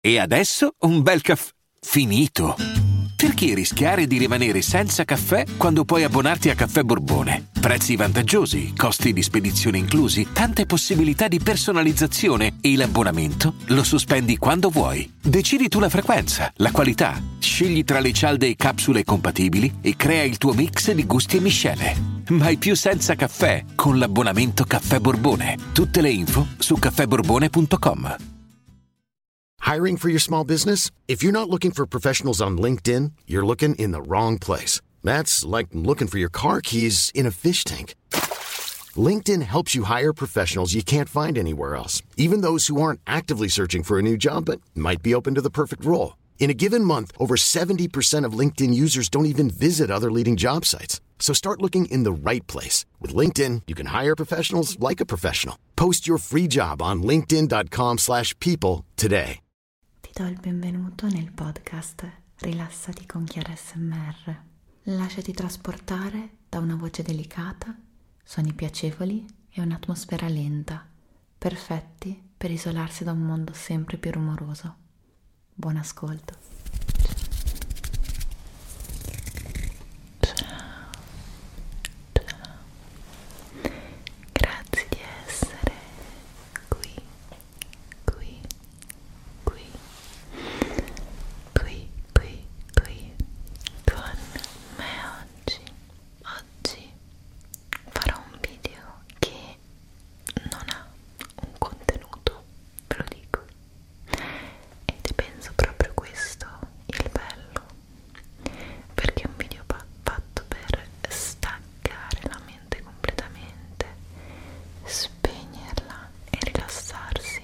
E adesso un bel caffè finito. Perché rischiare di rimanere senza caffè quando puoi abbonarti a Caffè Borbone? Prezzi vantaggiosi, costi di spedizione inclusi, tante possibilità di personalizzazione e l'abbonamento lo sospendi quando vuoi. Decidi tu la frequenza, la qualità, scegli tra le cialde e capsule compatibili e crea il tuo mix di gusti e miscele. Mai più senza caffè con l'abbonamento Caffè Borbone. Tutte le info Hiring for your small business? If you're not looking for professionals on LinkedIn, you're looking in the wrong place. That's like looking for your car keys in a fish tank. LinkedIn helps you hire professionals you can't find anywhere else, even those who aren't actively searching for a new job but might be open to the perfect role. In a given month, over 70% of LinkedIn users don't even visit other leading job sites. So start looking in the right place. With LinkedIn, you can hire professionals like a professional. Post your free job on linkedin.com slash people today. Ti do il benvenuto nel podcast Rilassati con Chiara SMR. Lasciati trasportare da una voce delicata, suoni piacevoli e un'atmosfera lenta, perfetti per isolarsi da un mondo sempre più rumoroso. Buon ascolto. Ciao. Ciao. Grazie di essere qui, qui, qui, qui, qui, qui con me oggi. Oggi farò un video che non ha un contenuto, ve lo dico. Ed penso proprio questo il bello, perché è un video fatto per staccare la mente completamente, spegnerla e rilassarsi,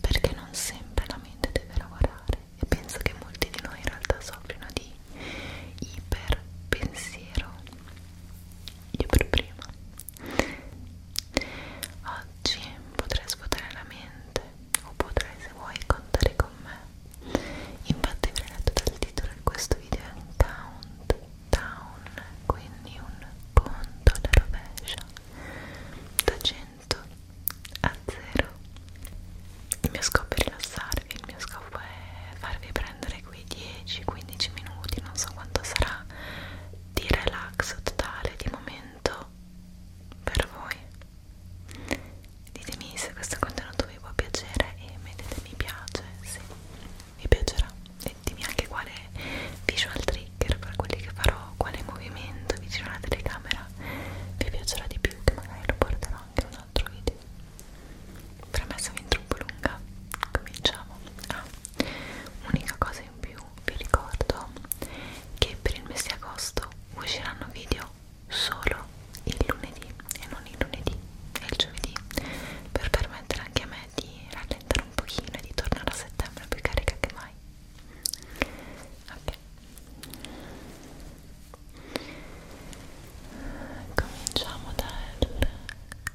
perché non sempre la mente deve lavorare e penso che molti di noi in realtà soffrono di iperpensiero io per prima Oggi potrai svuotare la mente o potrai se vuoi contare con me. Infatti avrei letto dal titolo di questo video è un countdown, quindi un conto alla rovescia da 100 a 0. Il mio scopo è rilassarvi, il mio scopo è farvi prendere fare quei 10-15 minuti, non so quanto sarà, di relax totale di momento per voi. Ditemi se questo contenuto vi può piacere e mettete mi piace se vi piacerà. Ditemi anche quale visual trigger per quelli che farò, quale movimento vicino alla telecamera vi piacerà di più, che magari lo porterò anche in un altro video premessa fin troppo lunga cominciamo ah, unica cosa in più vi ricordo che per il mese di agosto usciranno video solo il lunedì e non il lunedì e il giovedì per permettere anche a me di rallentare un pochino e di tornare a settembre più carica che mai ok cominciamo dal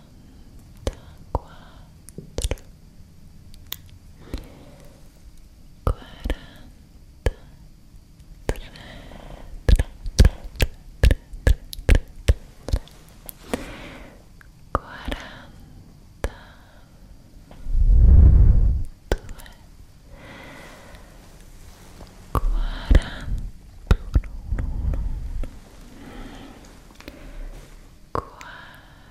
quatro, quarenta, quarenta, quarenta, quarenta,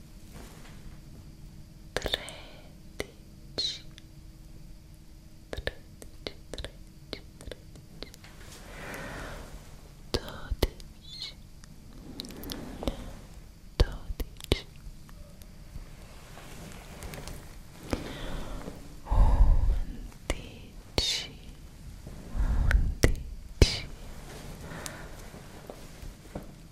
tredici tredici tredici tredici dodici dodici undici undici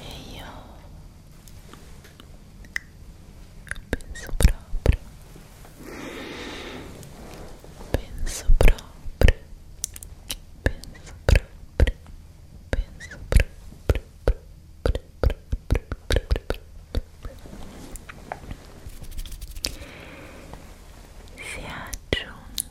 e io penso proprio penso proprio penso proprio penso proprio si è aggiunto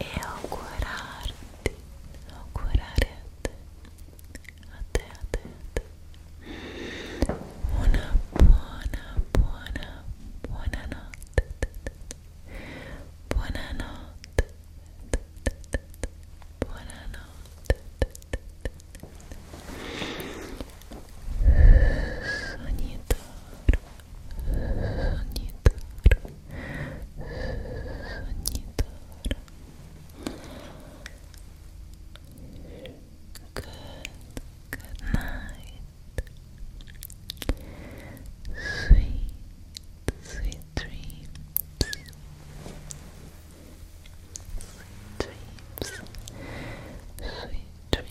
e augurarti, augurare a te, a te, a te, a te, una buona, buona, buona notte, buona notte, buona notte, sogni d'oro Sanitaro. Sanitaro. Good. Good night. Sweet, sweet dreams. Sweet dreams. Sweet dreams.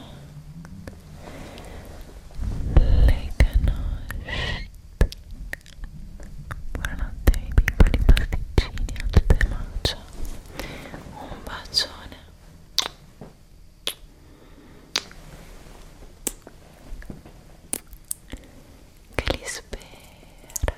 le canosce buonanotte ai piccoli pasticcini a tutte mancia un bacione che li spera